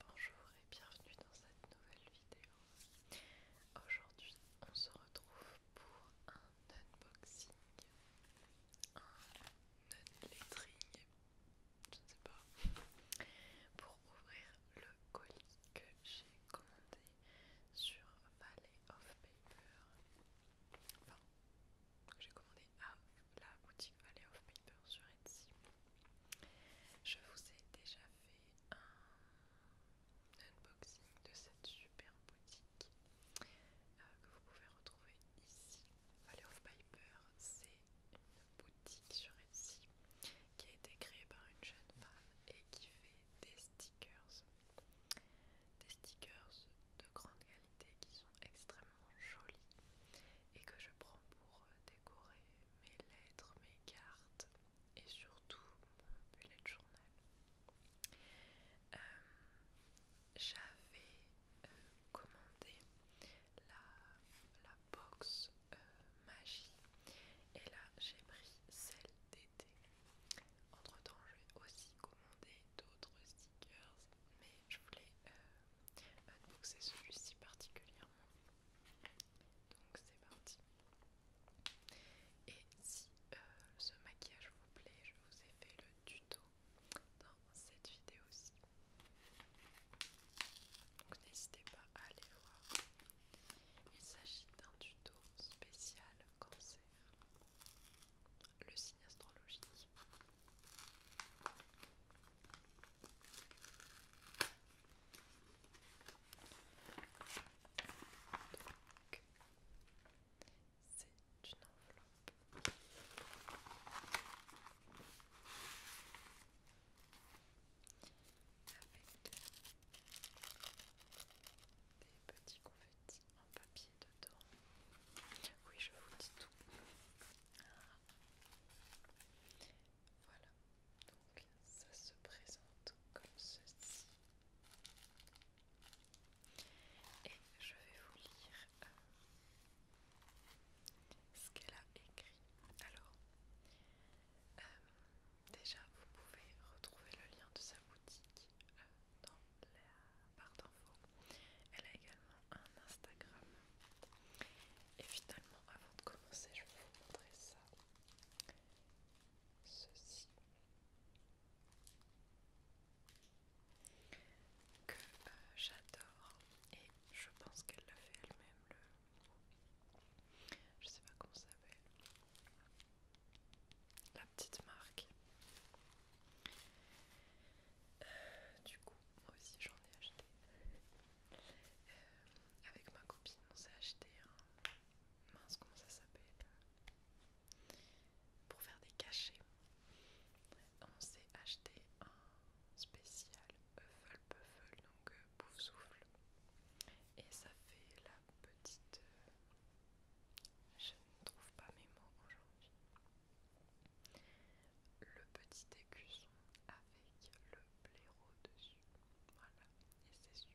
Bonjour et bienvenue dans cette nouvelle vidéo. Aujourd'hui, on se retrouve pour un unboxing, un unlettering, je ne sais pas, pour ouvrir le colis que j'ai commandé sur Ballet of Paper j'ai commandé à la boutique Valley of Piper sur Etsy. Je vous ai déjà fait un unboxing de cette super boutique euh, que vous pouvez retrouver ici. Valley of Piper c'est une boutique sur Etsy qui a été créée par une jeune femme et qui fait des stickers des stickers de grande qualité qui sont extrêmement jolis et que je prends pour euh, décorer mes lettres, mes cartes et surtout mon bullet journal. Euh, j'avais euh, commandé la, la box magie et là j'ai pris celle d'été entre temps, je vais aussi commander d'autres stickers, mais je voulais euh, unboxer celui-ci particulièrement. Donc c'est parti. Et si euh, ce maquillage vous plaît, je vous ai fait le tuto dans cette vidéo aussi. Donc n'hésitez pas à aller voir. Il s'agit d'un tuto spécial c'est le signe astrologique. c'est une enveloppe. Avec des petits confettis en papier dedans. Oui, je vous dis tout. Voilà, donc ça se présente comme ceci. Et je vais vous lire euh, ce qu'elle a écrit. Alors, euh, déjà, vous pouvez retrouver le lien de sa boutique euh, dans la barre d'infos. Elle a également un Instagram. Et finalement, avant de commencer, je vais vous montrer ça. Ceci. Que euh, j'adore. Et je pense qu'elle l'a fait elle-même. Le... Je sais pas comment ça s'appelle petite marque. Euh, du coup, moi aussi j'en ai acheté. Euh, avec ma copine, on s'est acheté un. Mince, comment ça s'appelle euh, Pour faire des cachets. On s'est acheté un spécial Huffle Puffle, donc bouffe souffle et ça fait la petite euh, je ne trouve pas mes mots aujourd'hui le petit écusson avec le blaireau dessus voilà et c'est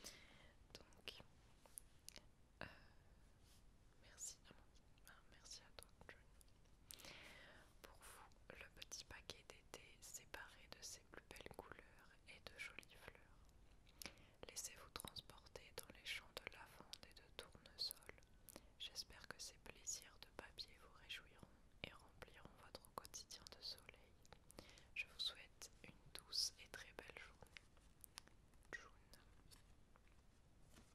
super donc euh, merci ah, merci à toi John pour vous le petit paquet d'été séparé de ses plus belles couleurs et de jolies fleurs. Laissez-vous transporter dans les champs de lavande et de tournesol. J'espère que ces plaisirs de papier vous réjouiront et rempliront votre quotidien de soleil. Je vous souhaite une douce et très belle journée. June. Voilà,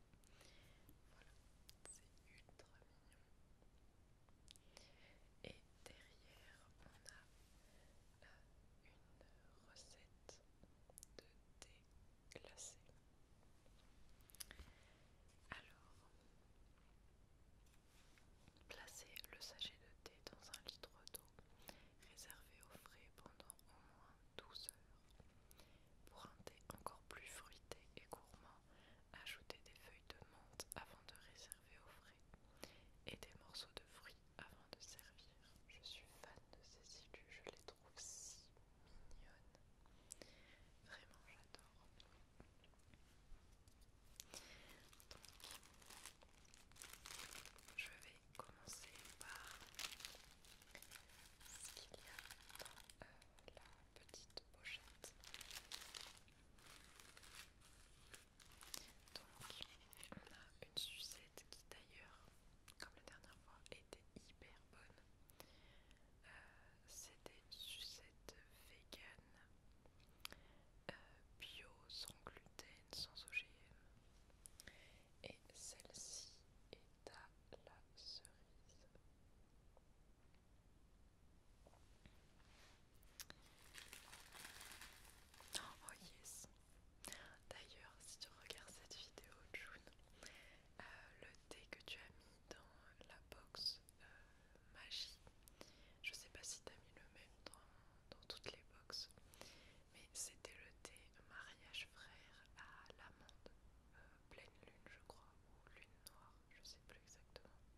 c'est ultra mignon. Et derrière, on a une recette de thé glacé. Alors, placez le sachet de thé dans un litre d'eau réservé au frais pendant au moins 12 heures. Pour un thé encore plus fruité et gourmand, ajoutez des feuilles de menthe avant de réserver au frais et des morceaux de fruits avant de servir. Je suis fan de ces ilus, je les trouve si mignonnes. Vraiment, j'adore. Donc, je vais commencer par ce qu'il y a dans euh, la petite pochette. Donc on a une sucette qui d'ailleurs, comme la dernière fois, était hyper bonne. Euh, c'était une sucette vegan, euh, bio, sans gluten, sans OGM. Et celle-ci est à la cerise. Oh yes D'ailleurs, si tu regardes cette vidéo, June, euh, le thé que tu as mis dans la box euh, magie, je sais pas si tu as mis le même dans, toutes les boxes, mais c'était le thé mariage frère à l'amande, euh, pleine lune, je crois, ou lune noire je sais plus exactement.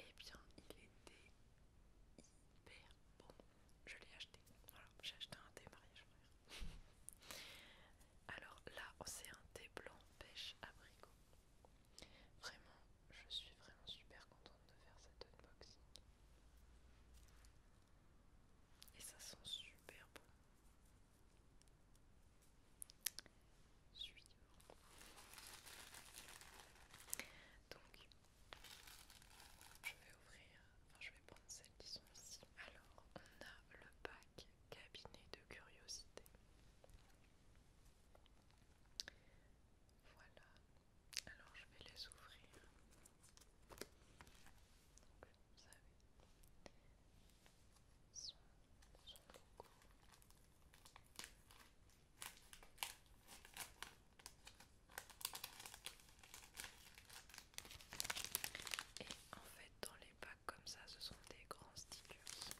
Et eh bien, il était hyper bon. Je l'ai acheté. Voilà, j'ai acheté un thé mariage frère. Alors là, oh, c'est un thé blanc pêche abricot. Vraiment, je suis vraiment super contente de faire cet unboxing. Et ça sent super bon. Donc, je vais ouvrir, enfin je vais prendre cette qui Alors, on a le pack cabinet de curiosité. Voilà. Alors, je vais les ouvrir. Donc, vous savez, et en fait, dans les packs comme ça, ce sont des grands stickers.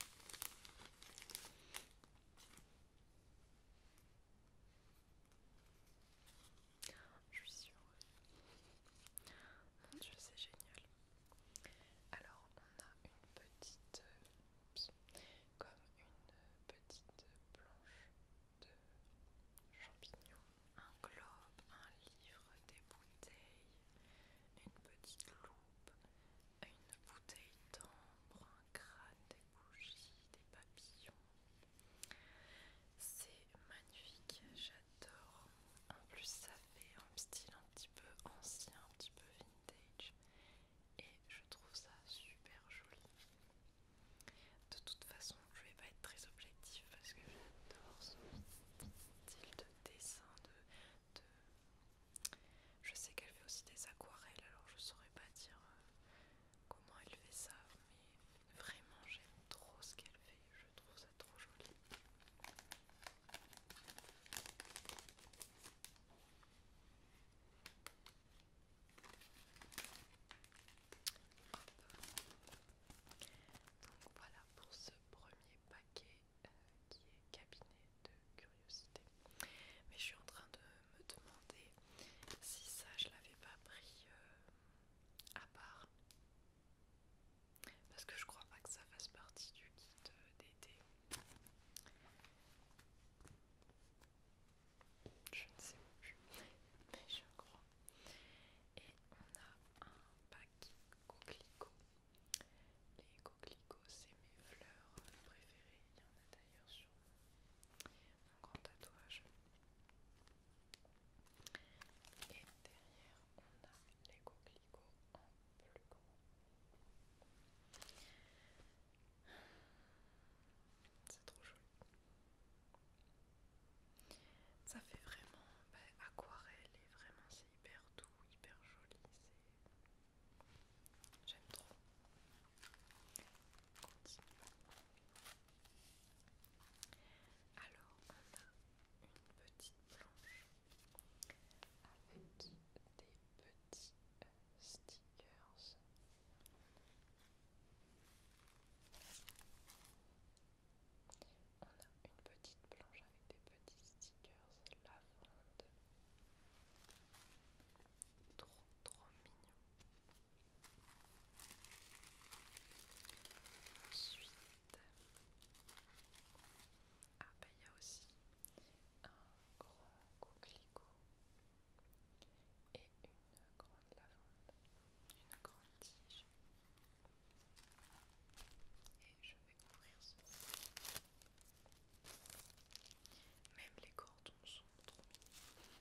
Je suis sûre. Mon c'est génial. Alors on a une petite, euh, comme une petite planche de champignons, un globe, un livre, des bouteilles, une petite loupe, une bouteille d'ambre, un crâne, des bougies, des papillons. C'est magnifique, j'adore. En plus ça fait un style un petit peu ancien, un petit peu vintage et je trouve ça super joli. De toute façon, je vais pas être très objectif parce que j'adore ce style de dessin. De, Je sais qu'elle fait aussi des aquarelles, alors je saurais pas dire euh, comment elle fait ça, mais vraiment j'aime trop ce qu'elle fait. Je trouve ça trop joli. Donc voilà pour ce premier paquet euh, qui est cabinet de curiosité. Mais je suis en train de me demander si ça je l'avais pas pris euh, à part parce que je crois pas que ça fasse partie du kit euh, d'été. Je ne sais plus, mais je crois. Et on a un pack coquelicot. Les coquelicots, c'est mes fleurs préférées. Il y en a d'ailleurs sur mon grand tatouage. Et derrière, on a les un en plus grand. C'est trop joli. Ça fait vraiment bah, aquarelle et vraiment c'est hyper doux, hyper joli. J'aime trop. Alors on a une petite planche avec des petits stickers. On a une petite planche avec des petits stickers lavande. Trop trop mignon. Ensuite, ah ben il y a aussi un gros coquelicot et une grande lavande, une grande tige. Et je vais couvrir ceci. Même les cordons sont trop mignons.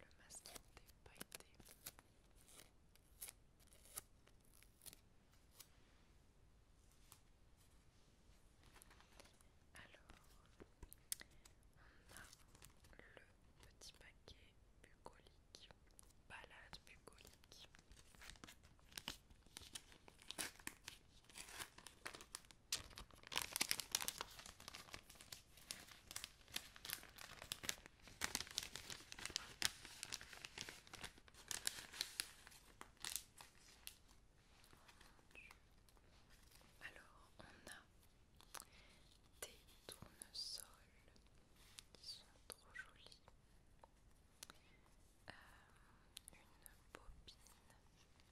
Le masque pailletés, Alors, on a le petit paquet bucolique, balade bucolique. Alors, on a des tournesols qui sont trop jolis, euh, une bobine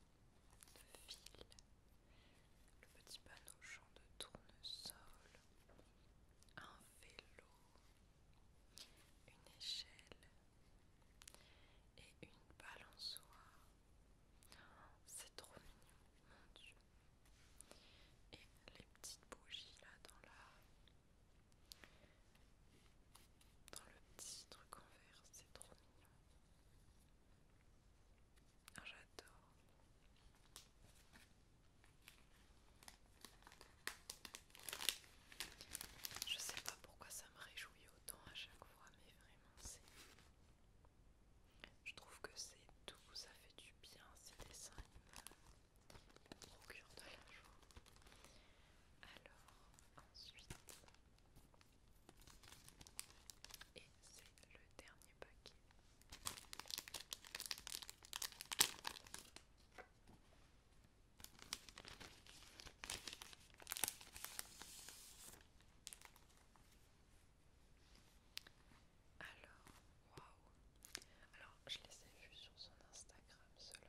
le fil, le petit panneau champ de tournesol, un vélo, une échelle et une balançoire. C'est trop mignon, mon dieu. Et les petites bougies là dans la... Dans le petit truc en verre, c'est trop mignon. Ah, j'adore. Je sais pas pourquoi ça me réjouit autant à chaque fois, mais vraiment c'est... Je trouve que c'est tout, ça fait du bien, ces dessins, ils de la joie. Alors, ensuite, et c'est le dernier paquet. Alors, waouh! Alors, je les ai vus sur son Instagram, cela.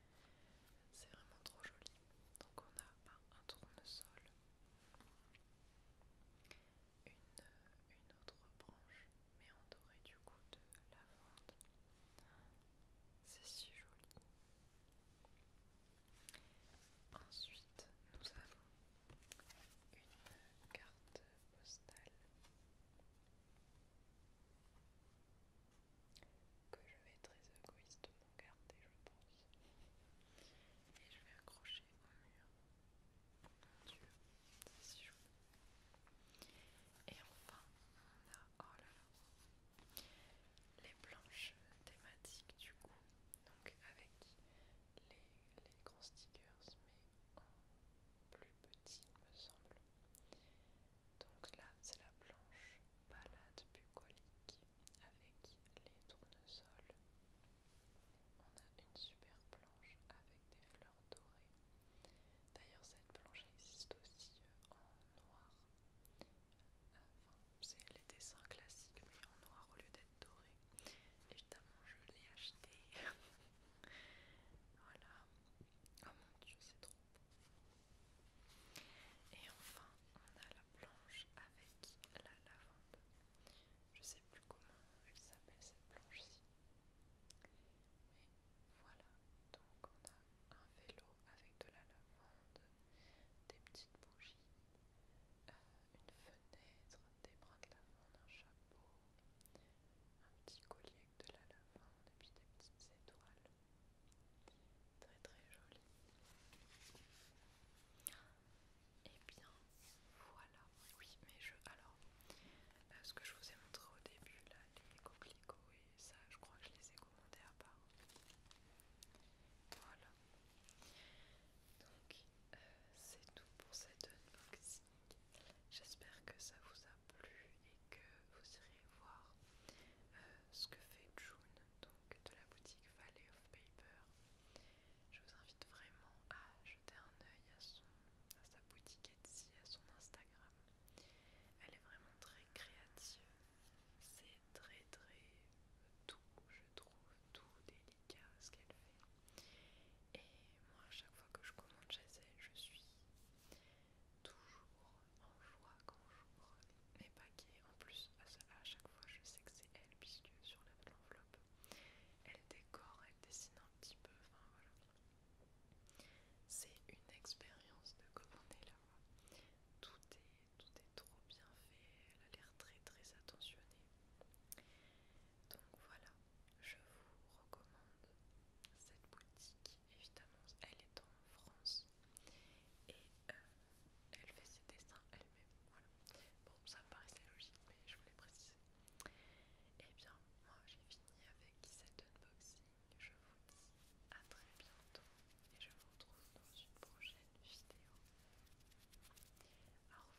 C'est vraiment trop joli. Donc on a ben, un, tournesol, une, une autre branche, mais en doré du coup de la lavande. C'est si joli. Ensuite, nous avons une carte postale que je vais très égoïstement garder, je pense. Et je vais accrocher au mur. Mon dieu, c'est Et enfin, on a oh les planches thématiques du coup. Donc avec les, les grands stickers, mais en plus petit, me semble. Donc là, c'est la planche balade bucolique avec les tournesols. On a une super planche avec des fleurs dorées. D'ailleurs, cette planche existe aussi euh, en noir. Enfin, c'est les dessins classiques, mais en noir au lieu d'être doré. Évidemment, je l'ai acheté. Voilà. Oh mon dieu, c'est trop beau. Et enfin, on a la planche avec la lavande. Je sais plus comment elle s'appelle cette planche-ci. Mais voilà. Donc on a un vélo avec de la lavande, des petites bougies, euh, une fenêtre, des brins de lavande, un chapeau, un petit collier de la lavande et puis des petites étoiles. Très très jolies. Et eh bien voilà. Oui, mais je. Alors, euh, ce que je vous ai montré au début, là, les coquelicots et ça, je crois que je les ai commandés à part. Voilà. Donc, euh, c'est tout pour cette unboxing. J'espère que ça vous a plu et que vous irez voir euh, ce que fait June donc de la boutique Valley of Paper. Je vous invite vraiment à jeter un œil à, sa boutique Etsy, à son Instagram. Elle est vraiment très créative. C'est très très tout je trouve, tout délicat ce qu'elle fait. Et moi, à chaque fois que je commande chez elle, je suis toujours en joie quand j'ouvre mes paquets. En plus, à, chaque fois, je sais que c'est elle, puisque sur enveloppe elle décore, elle dessine un petit peu. Enfin voilà. C'est une expérience de commander là. Tout est, tout est trop bien fait. Elle a l'air très très attentionnée. Donc voilà je vous recommande cette boutique. Évidemment, elle est en France et euh, elle fait ses dessins elle-même. Voilà. Bon, ça me paraissait logique, mais je voulais préciser. Et eh bien, moi j'ai fini avec cet unboxing. Je vous dis à très bientôt et je vous retrouve dans une prochaine vidéo. Au revoir.